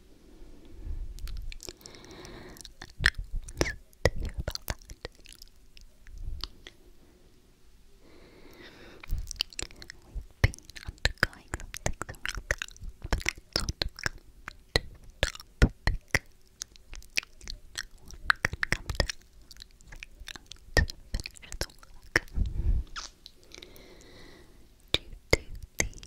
I don't hear about that. we undergoing some things around that, but that's what come to the topic. No one can come to to finish the work. Due to the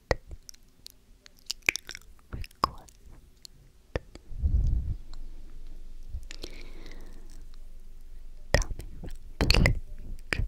request Tommy Robinson trigger Cotton, cotton, cotton, cotton, cotton,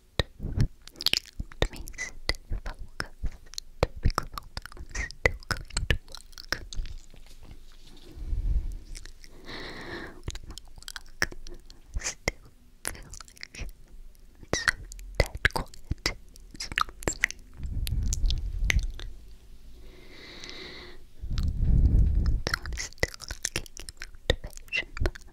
It means to focus, to be focused, to commit to work. Work. I still feel like it's so dead quiet. It's not the same. So I'm still looking at motivation, but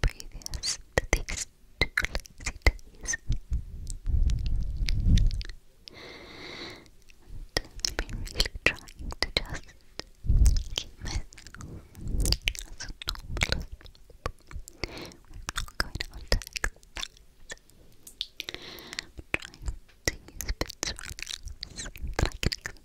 Previous to these I've been really trying to just keep myself as a normal I'm not going on to exercise. I'm trying to use bits of relax I can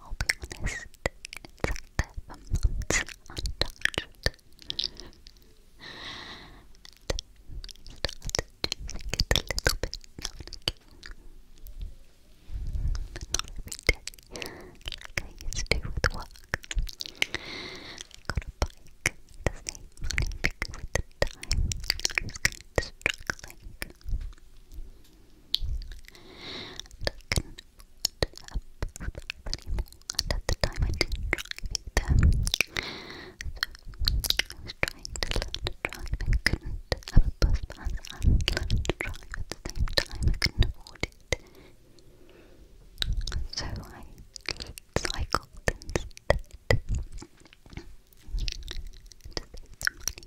I'll be honest, it's up there untouched. And a little bit now not every day, like I used to with work. I a bike to save the time I struggling. And I couldn't afford a bus anymore, and at the time I didn't drive either. So I was trying to learn to drive and couldn't have a bus at the same time. I couldn't afford it. So I cycled instead to save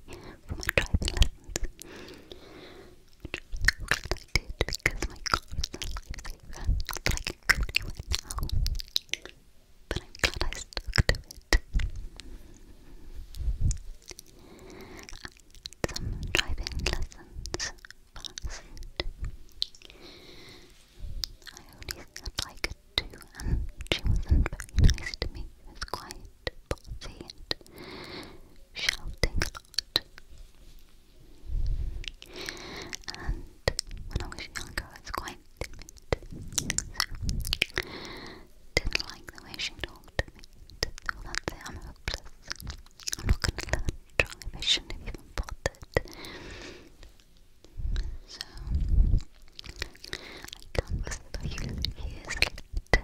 money for my driving lessons which I because my car is a lifesaver, not like it could be right now, but I'm glad I stuck to it. And some driving lessons passed. I only had like two and she wasn't very nice to me, she quite bossy shouting a lot. And when I was younger, I quite didn't like the way she talked to me. Well, that's it, I'm not going to let to drive. I shouldn't have even bothered. So, I can't believe years later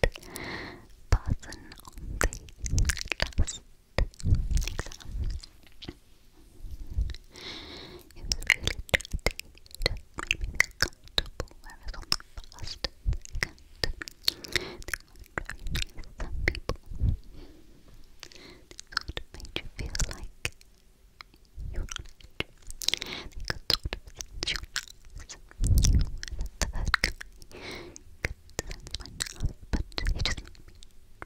person on the last exam. It was really tricky to make me feel comfortable, whereas on the first some people. made you feel like you were on They could sort of You sense but it just made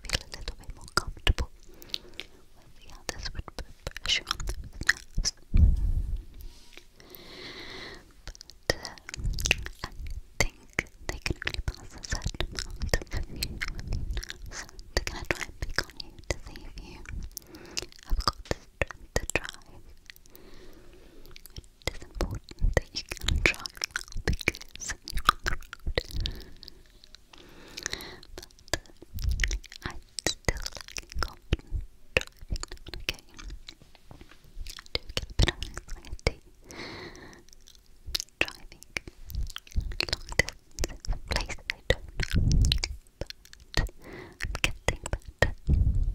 feel a little bit more comfortable with the others would put pressure on themselves. But I think they can only pass a certain amount of so they're going to try and pick on you to see if you have got the drive it is important that you try because you're on But i still lacking confidence driving now okay. I get a bit of anxiety driving long distances in places I don't but I'm getting better.